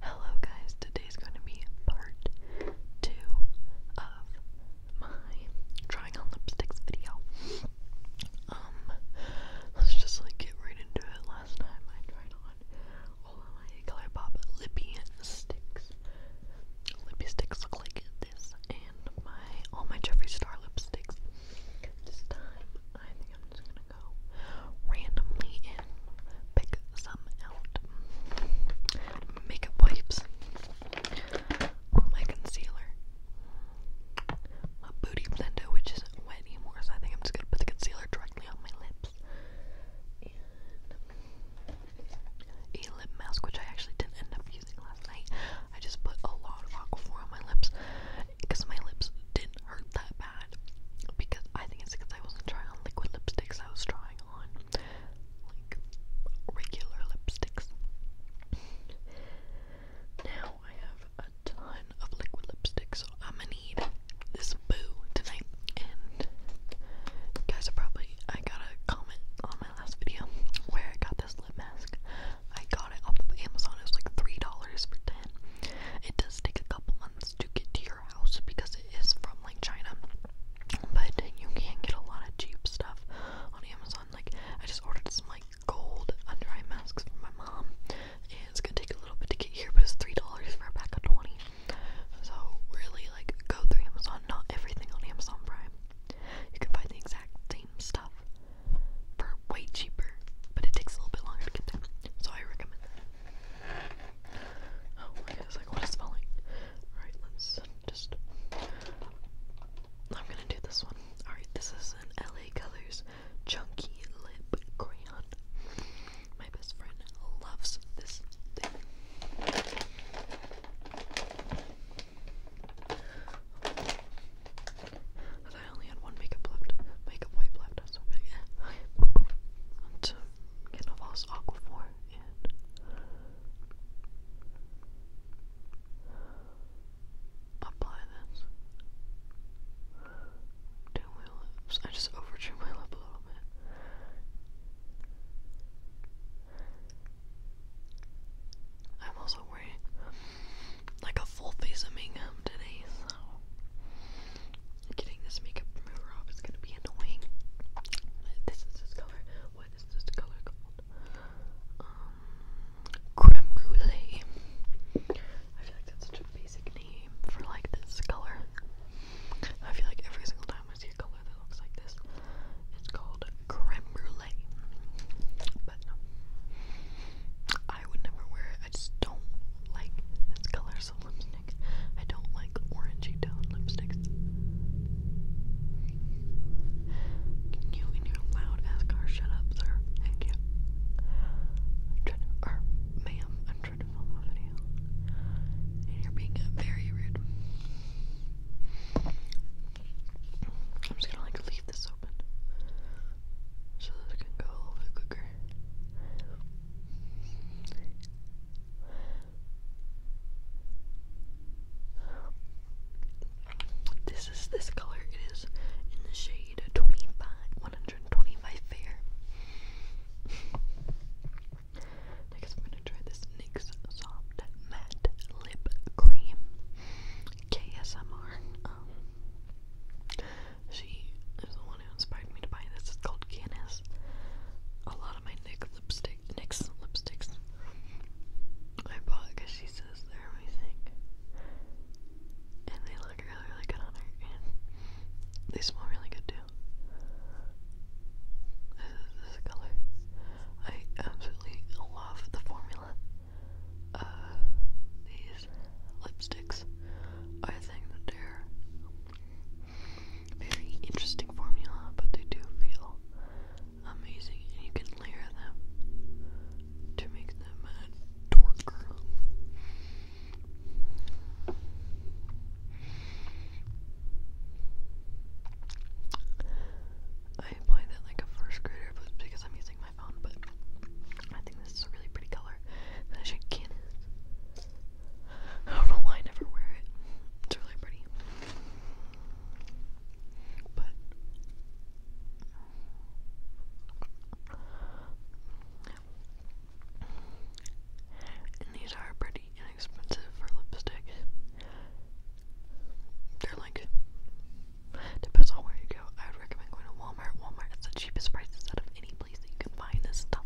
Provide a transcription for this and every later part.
Hello guys, today is going to be part two of my trying on lipsticks video. Um, let's just like get right into it. Last time I tried on all of my Color lipsticks, lippy look like this, and my all my Jeffree Star lipsticks. This time, I think I'm just gonna go randomly in, pick some out. Makeup wipes, my concealer, my booty blender, which isn't wet anymore, so I think I'm just gonna put the concealer directly on my lips. a lip mask, which I actually didn't end up using last night. I just put a lot of aquaphor on my lips because my lips didn't hurt that because I think it's because I wasn't trying on liquid lipsticks, I was trying on like regular lipsticks. Now I have a ton of liquid lipsticks, so I'm gonna need this boo tonight. And guys are probably, I got a comment on my last video where I got this lip mask. I got it off of Amazon, it was like $3 for 10 It does take a couple months to get to your your house because it is from like China. But you can get a lot of cheap stuff on Amazon. Like I just ordered some like gold under eye masks for my mom. It's gonna take a little bit to get here, but it's three dollars for a pack of twenty. So really like go through Amazon, not everything on Amazon Prime. You can find the exact same stuff for way cheaper, but it takes a little bit longer to get them. So I recommend that. Oh, okay, it's like, what is falling? Alright, let's just... I'm gonna do this one. Alright, this is an LA Colors Chunky Lip Crayon. My best friend loves this thing. I thought I only had one makeup left. Makeup wipe left. so big. Candlevoss, Aquaphor, and apply this to my lips. I just overdrew my lip a little bit. I'm also wearing like a full face of makeup today, so Getting this makeup remover off is gonna be annoying. This is this color. What is this color called? Um, creme brulee. I feel like that's such a basic name for like this color. I feel like every single time I see a color that looks like this, it's called creme brulee. But I would never wear it. I just don't like this color, types I don't like orangey toned lipsticks. you and your loud ass car shut up, sir? Thank you. I'm trying to, ma'am, I'm trying to film a video. And you're being very rude. I'm just gonna like leave this open so that can go a little bit quicker. This is this color. It is in the shade 25, 125 fair. Next, I'm gonna try this NYX Soft Matte Lip Cream KSMR. Um, one inspired me to buy this. It's called Guinness. A lot of my Nick lipsticks, I bought because she says they're amazing, and they look really, really good on her, and they smell really good too. This color. I absolutely love the formula these lipsticks. I think they're very interesting formula, but they do feel amazing, and you can layer them to make them a dorker. I applied that like a first grader but because I'm using my phone, but I think this is a really pretty color that I should can it. I don't know why I never wear it. It's really pretty. But these are pretty inexpensive for lipstick. They're like depends on where you go. I would recommend going to Walmart. Walmart is the cheapest prices out of any place that you can find this stuff.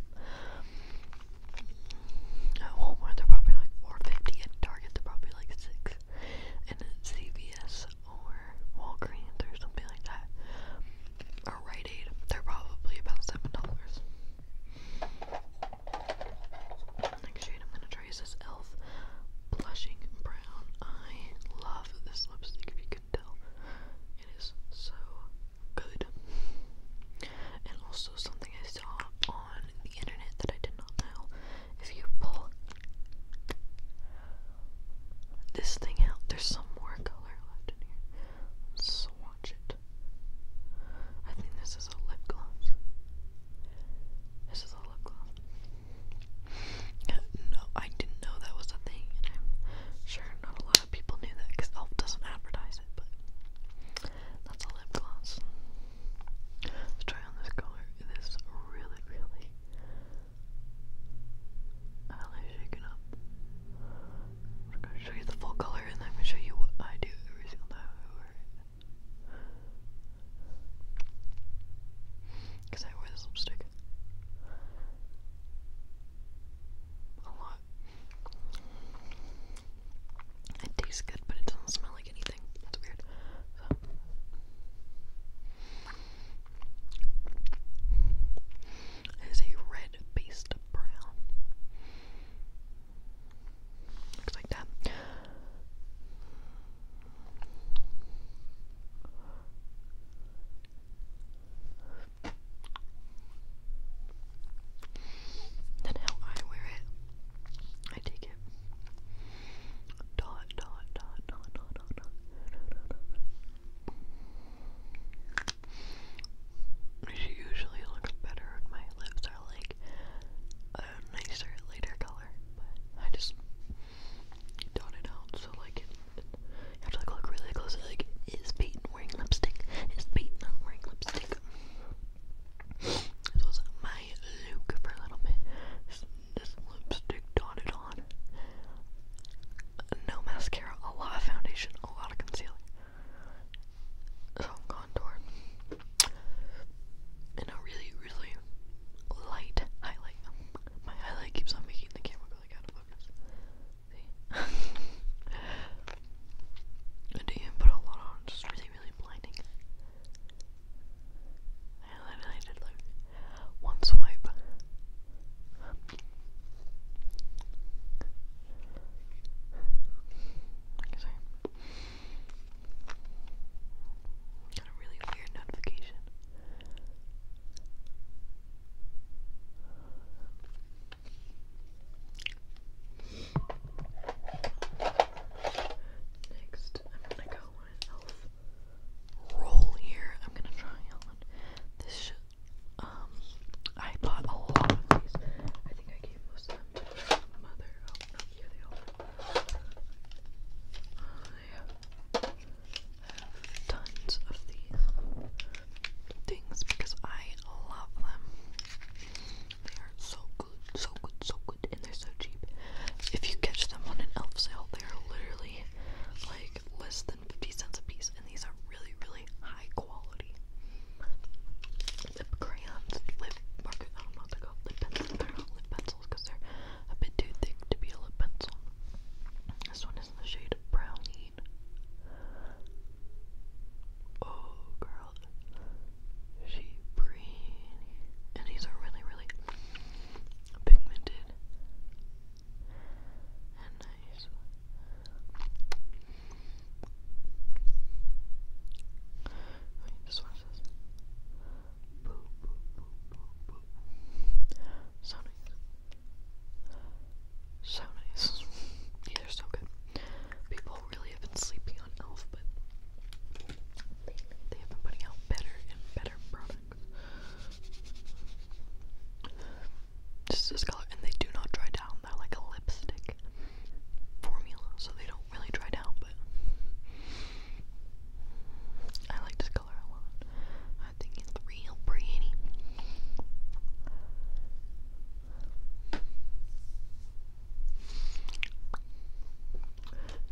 At Walmart, they're probably like four fifty. At Target, they're probably like six. And at CVS or Walgreens or something like that, or Rite Aid, they're probably about seven dollars. Next shade, I'm gonna try is this Elf Blushing Brown. I love this lipstick. If you can it is so good. And also something I saw on the internet that I did not know. If you pull this thing out, there's some more color left in here. swatch it. I think this is a lip gloss. This is a lip gloss. Yeah, uh, no, I didn't know that was a thing, sure not a lot that people knew that because Elf doesn't advertise it, but that's a lip gloss. Let's try on this color. This really, really eyelash shaken up. I'm gonna show you the full color and then I'm gonna show you what I do every single time Because I wear this lipstick a lot. It tastes good, but it doesn't smell like anything. That's weird. So. a red based brown. Looks like that than how I wear it. I take it dot dot dot dot dot dot dot dot dot. She usually looks better when my lips are like a nicer, lighter color, but I just dot it out so like it you have to like look really closely. Like, is Peyton wearing lipstick? Is Peyton not wearing lipstick? This was my look for a little bit. this lipstick dotted on. No mascara, a lot of foundation, a lot of concealer. Some contour. And a really, really light highlight. My highlight keeps on making the camera go like out of focus. See? I do even put a lot on, it's just really, really blinding. I literally did like one swipe. Like I Got a really weird notification. Next, I'm gonna go on elf roll here. I'm gonna try on this shit. Um, I bought a lot of these. I think I gave most of them to my mother. Oh, here they are. I have tons of these things because I love them. They are so good, so good, so good, and they're so cheap. If you catch them on an elf sale, they are literally like less than 50 cents a piece, and these are really, really high quality. Lip crayons, lip markers, I don't know what they call them. lip pencils, they're not lip pencils because they're a bit too thick to be a lip pencil. This one is in the shade of Brownie. Oh, girl. She pretty. And these are really, really pigmented and nice. Wait, this one says boop, boop, boop, boop, boop. Sonic. So nice. Yeah, are so good. People really have been sleeping on Elf, but they have been putting out better and better products. Just this color, and they do not dry down. They're like a lipstick formula, so they don't really dry down, but I like this color a lot. I think it's real pretty.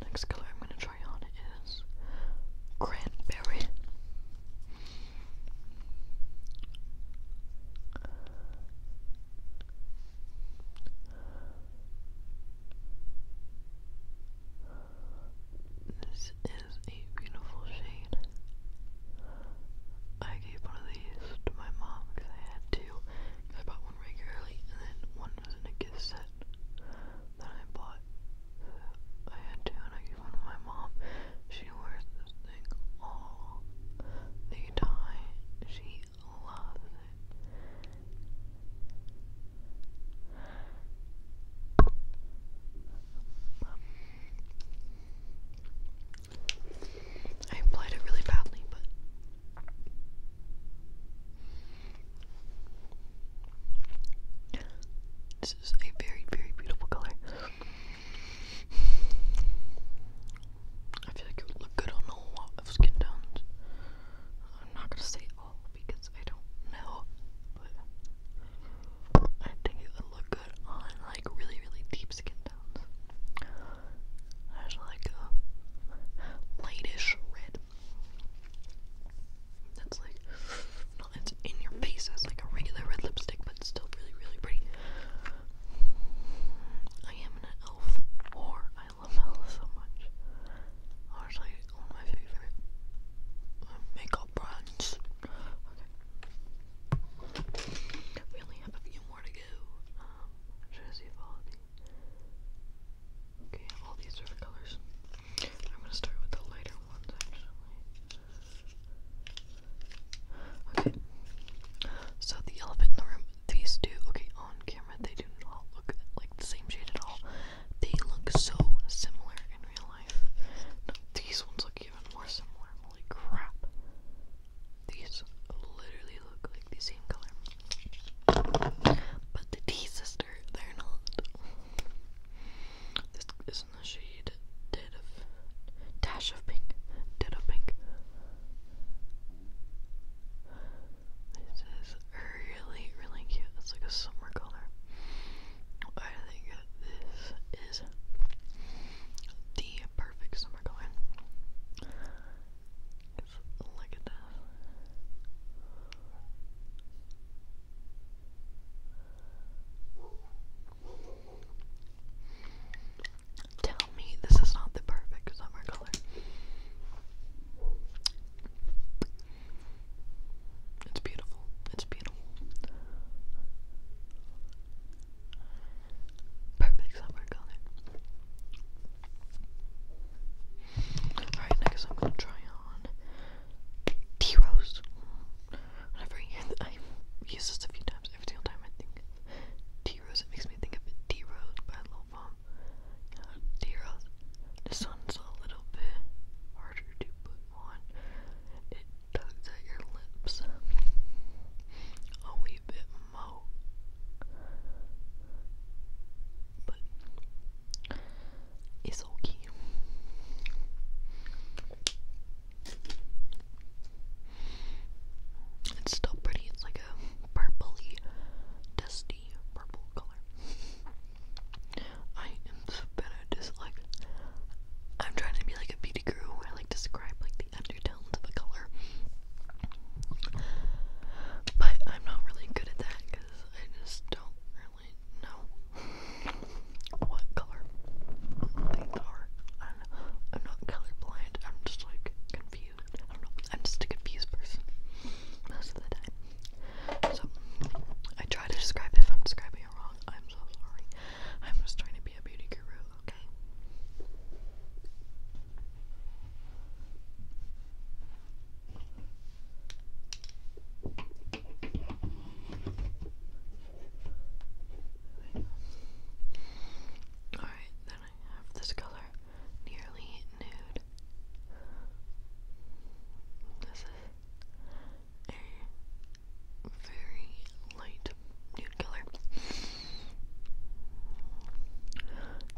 Next color I'm going to try on is Cranberry. This is a beautiful shade. I gave one of these to my mom because I had two. I bought one regularly, and then one was in a gift set that I bought. I had two, and I gave one to my mom. She wears this thing all the time. She loves it. I applied it really badly, but this is a very, very beautiful color. I feel like it would look good on a lot of skin tones. I'm not gonna say all because I don't know, but I think it would look good on like really, really deep skin tones. There's like a lightish red. That's like it's in your face That's like a regular red lipstick, but it's still really, really pretty. I am an elf, or I love elves so much. Honestly, one of my favorite uh, makeup brands. We only have a few more to go. Um, I'm all these. different colors. I'm gonna start with the lighter ones actually. Okay. So the elephant in the room, these two, okay, on camera they do not look like the same shade at all. They look so similar in real life. these ones look even more similar. Holy crap. These literally look like the same color. But the T sister, they're not. This is in the shade of Dash of Pink. Dead of Pink. This is really, really cute. It's like a summer color. I think this is the perfect summer color. Just look at that. Tell me this is not the perfect summer color. It's beautiful. It's beautiful. Perfect summer color. Alright, next I'm gonna try on Tea Rose. Whenever I, use this a few times, every single time I think of Rose, it makes me think of it. Tea Rose by Lil Pump. Rose. This one's a little bit harder to put on tugs at your lips a wee bit more. But it's okay. It's still pretty, it's like a purpley, dusty purple color. I am so bad like, I'm trying to be like a beauty guru where like describe like the undertones of a color. But I'm not really good at that because I just don't really know what color things are. I am not colorblind. I'm just like confused. I don't I'm just a confused person most of the time. So I try to describe if I'm describing it wrong. I'm so sorry. I'm just trying to be a beauty guru okay? Alright, then I have this color, nearly nude. This is a very light nude killer.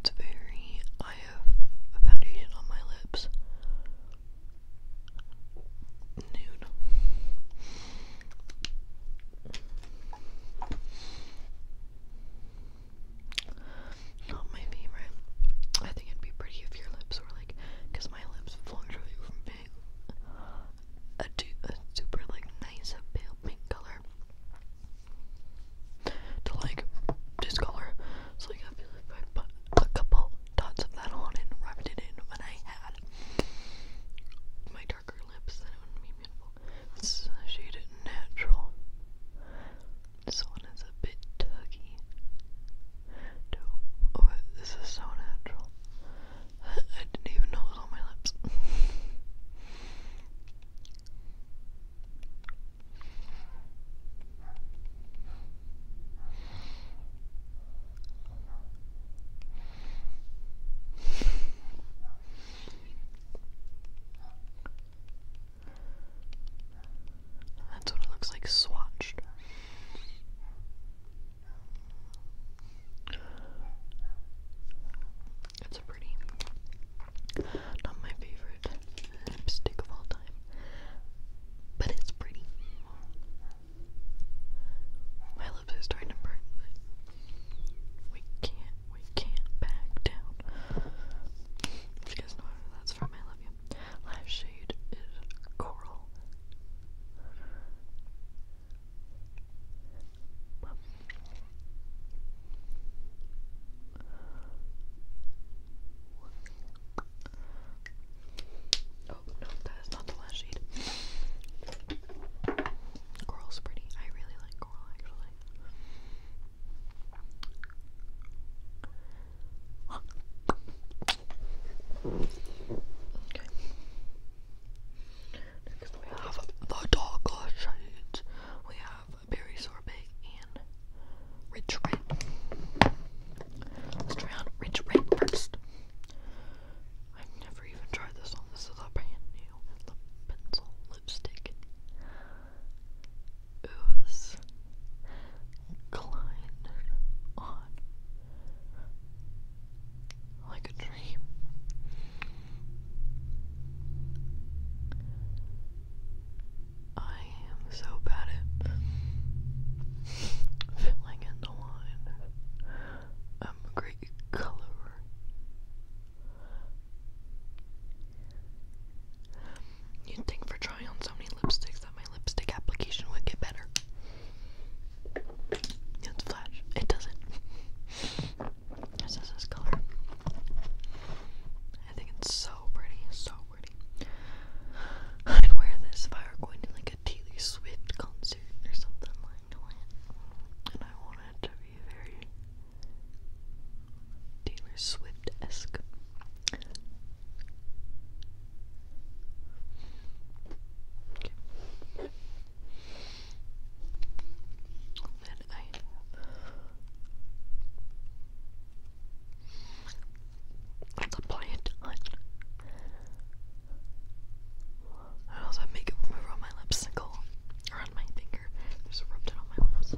It's very. I have a foundation on my lips. Nude. Not my favorite. I think it'd be pretty if your lips were like, because my lips fluctuate from big a, super like nice pale pink color to like discolor. So I feel like put a couple dots of that on and rubbed it in when I had my darker lips, then it would be beautiful. This is the natural. This one is a bit tuggy. Oh, this is so natural. I didn't even know it was on my lips. That's what it looks like swatched. That's a pretty, not my favorite lipstick of all time, but it's pretty. My lips are starting to burn, but we can't, we can't back down. You guys know where that's from, I love you. Last shade is Coral. Oh no, that is not the last shade. Coral's pretty. I really like coral actually. Next we have the Dogla Shades. We have Berry Sorbet and Rich Red. Let's try on Rich Red first. I've never even tried this one. This is a brand new lip lipstick. Ooze. Klein like a dream. I am so bad at filling in the line. I'm a great colorer. You'd think for trying so many lipsticks that my lipstick application would get better. It's flash. It doesn't. This is his color. I think it's so pretty, so pretty. I'd wear this if I were going to like a Taylor Swift concert or something like that. And I want to be very Taylor Swift esque. Then I have the plant on. I also have makeup remover on my lipsicle, or my finger. Just rubbed it on my lips.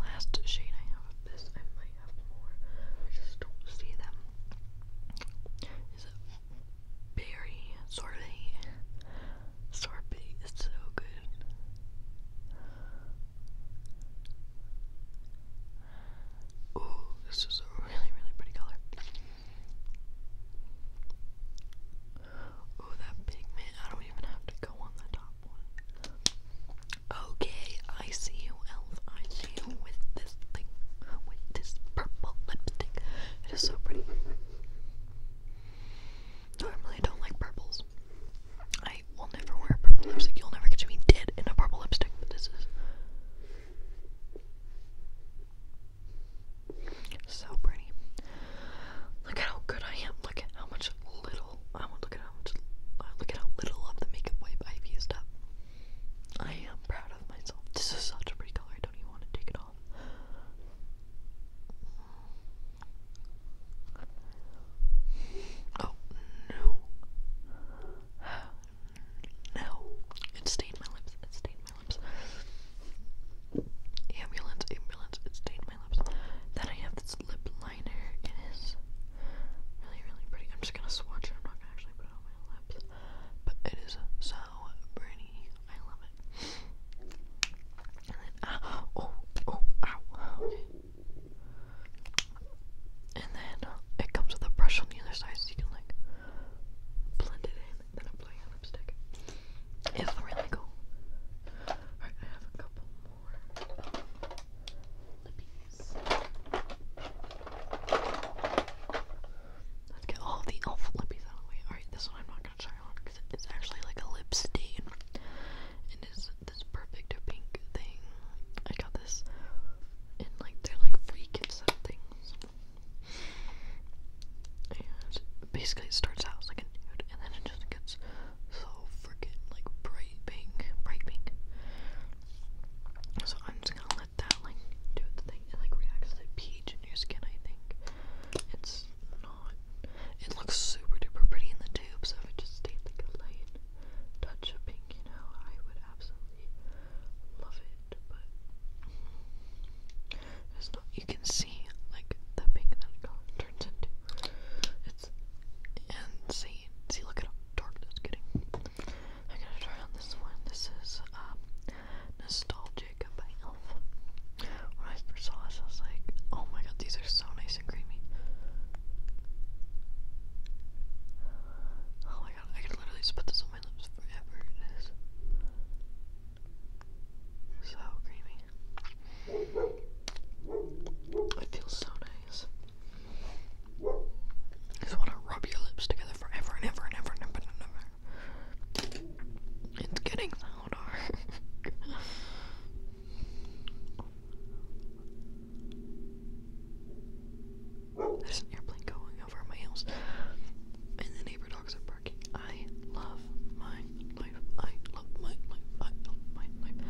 Last shade I have of this, I might have more. I just don't see them. Is it berry sorry? Sorbet is so good. Oh, this is a really, really pretty color. Oh, that pigment. I don't even have to go on the top Okay, I see you, Elf. I see you with this thing, with this purple lipstick. It is so pretty. I really don't like purples. I will never wear a purple lipstick. You'll never catch me dead in a purple lipstick, but this is so pretty. Look at how good I am. Look at how much little I want. Look at how much. Uh, look at how little of the makeup wipe I've used up. I am proud of myself. This is such a pretty color. don't even want to take it off all. Oh no. No. It stained my lips. It stained my lips. Ambulance, ambulance, it stained my lips. Then I have this lip liner. It is really, really pretty. I'm just gonna swatch it. I'm not gonna actually put it on my lips. But it is so pretty. I love it. And then, uh, oh, oh, ow, okay. And then uh, it comes with a brush on the other side so you can like blend it in and then apply your lipstick. It's really cool. Alright, I have a couple more lippies. Let's get all the elf lippies out of the way. Alright, this one I'm not construct is actually like a lip stain. It is this perfect pink thing. I got this and like they're like free gift set things. And basically it starts out as like a nude and then it just gets so freaking like bright pink. Bright pink. So I'm just gonna let that like do its thing. It like reacts to the pH in your skin I think. It's not. It looks super duper pretty in the tube, so if it just stayed like a light touch of pink, you know, I would absolutely love it. But it's not. You can see like the pink that it color turns into. It's insane. See, look at how dark that's getting. I'm gonna try on this one. This is um nostalgic about. When I first saw this, I was like, oh my god, these are so nice and creamy. Oh my god, I could literally put this on my lips forever. so creamy. It feels so nice. just want to rub your lips together forever and ever and ever and ever and ever. It's getting louder. There's an airplane going over my house, and the neighbor dogs are barking. I love my life. I love my life. I love my life.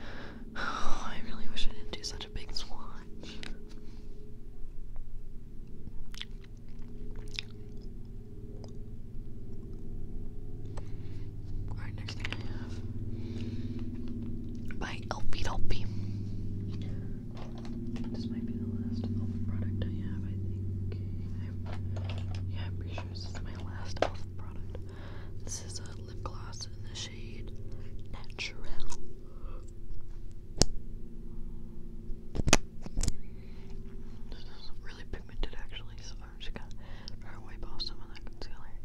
I really wish I didn't do such a big swatch by Elfie Dolpy. This might be the last elf product I have, I think. yeah, I'm pretty sure this is my last elf product. This is a lip gloss in the shade natural. This is really pigmented actually, so I'm just gonna wipe off some of that concealer.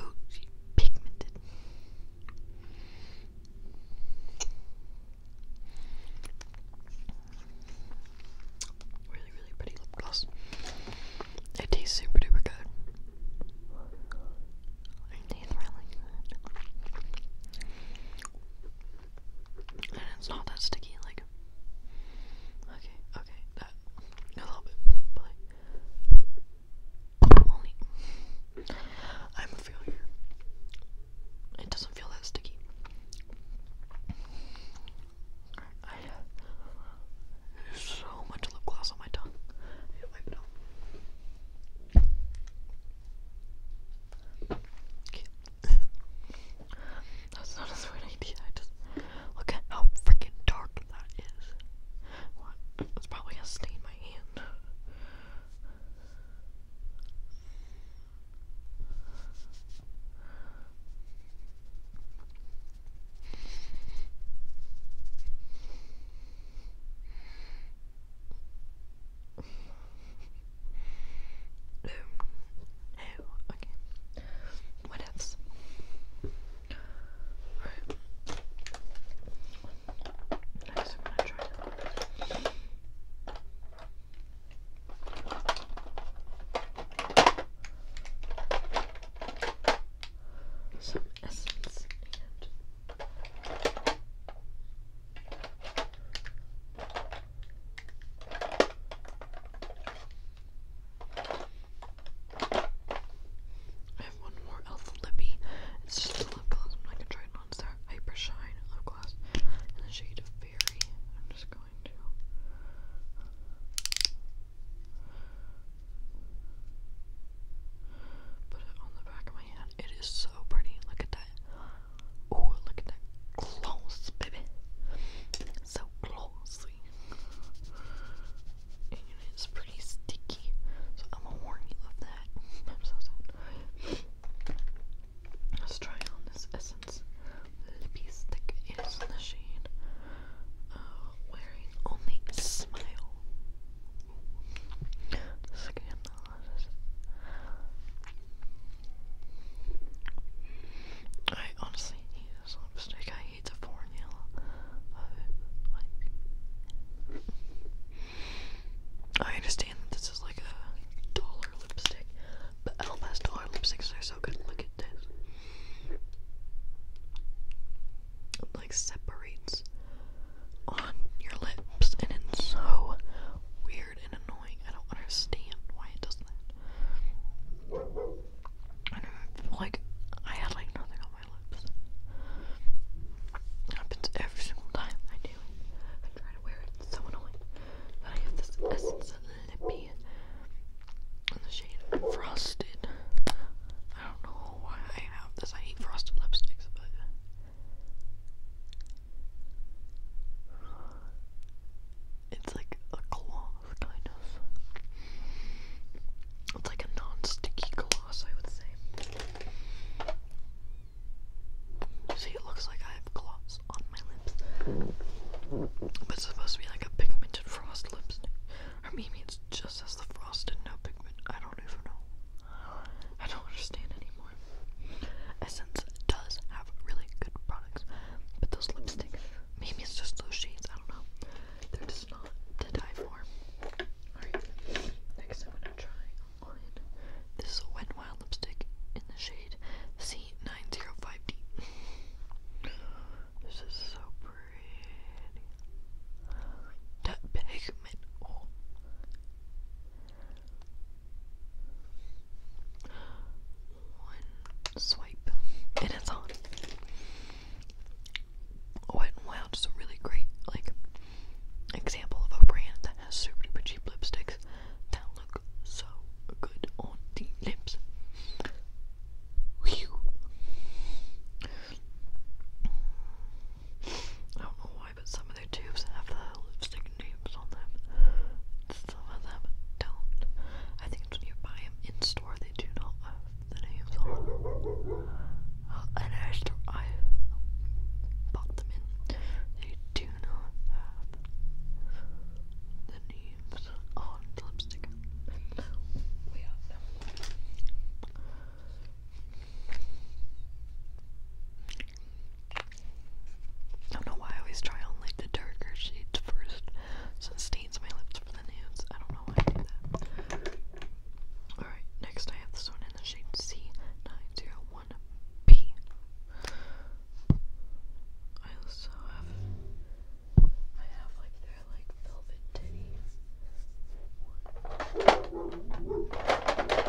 oh, she pigmented. Really, really pretty lip gloss. It tastes super duper good. It tastes really good. And it's not that sticky, like. Okay, okay, that. A little bit, but Only. I'm a failure. It doesn't feel that sticky. I have so much lip gloss on my tongue. Okay. That's not a sweet idea. I how freaking dark that is. What? It's probably gonna stain my hand. No. Oh, okay. What else? Right. Next, I'm gonna try. some essence I have one more Elf Lippy. It's just a lip gloss. I'm not gonna try it on. It's their Hyper Shine lip gloss in the shade of I'm just going to. Put it on the back of my hand. It is so pretty. Look at that that. Oh, look at that. Close, baby. So closely. And it's pretty sticky. So I'm gonna warn you of that. I'm so sad. Let's try on this Essence Lippy Stick. It is in Wearing Only Smile. Scandalous. I honestly hate lipstick. I hate the formula of it. I understand that this is like a dollar lipstick, but Elf has dollar lipsticks. They're so good. Look at this. like separates on your lips, and it's so weird and annoying. I don't understand why it does that. I don't feel like I had like nothing on my lips. happens every single time I do I try to wear it. It's so I have this Essence Lippy in the shade Frosted. I don't know why I have this. I hate frosted lipsticks, but it's like a gloss, kind of. It's like a non-sticky gloss, I would say. See, it looks like I have gloss on my lips. But it's supposed to be like a pigmented frost lipstick. Or maybe it's just as the frosted no pigment. I don't even know. I don't understand anymore. Essence does have really good products, but those lipsticks, maybe it's just those shades, I don't know. They're just not to die for. Alright, next I'm gonna try this is a Wet Wild lipstick in the shade C905D. This is so pretty. That pigment, oh. One swipe and it's on. Oh, wow, just a really great like example of a brand that has super duper cheap lipsticks that look so good on the lips. Whew. I but some of their tubes have the lipstick names on them. Some of them don't. I think when you buy them in store, they do not have the names on uh, and I, I bought them in, they do not have the names on the lipstick. We have them. I don't know why I always try on like the darker shades first, so it stains my lips for the nudes. I don't know why Alright, next I have this one in the shade C901B. I also have, I have like their like velvet titties.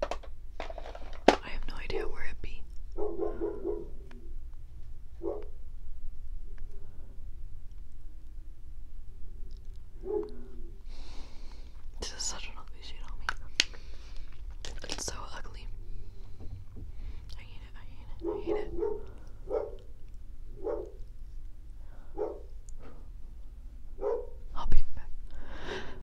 I have no idea where it be. This is such an ugly shade on me. It's so ugly. I hate it, I hate it, I hate it. I'll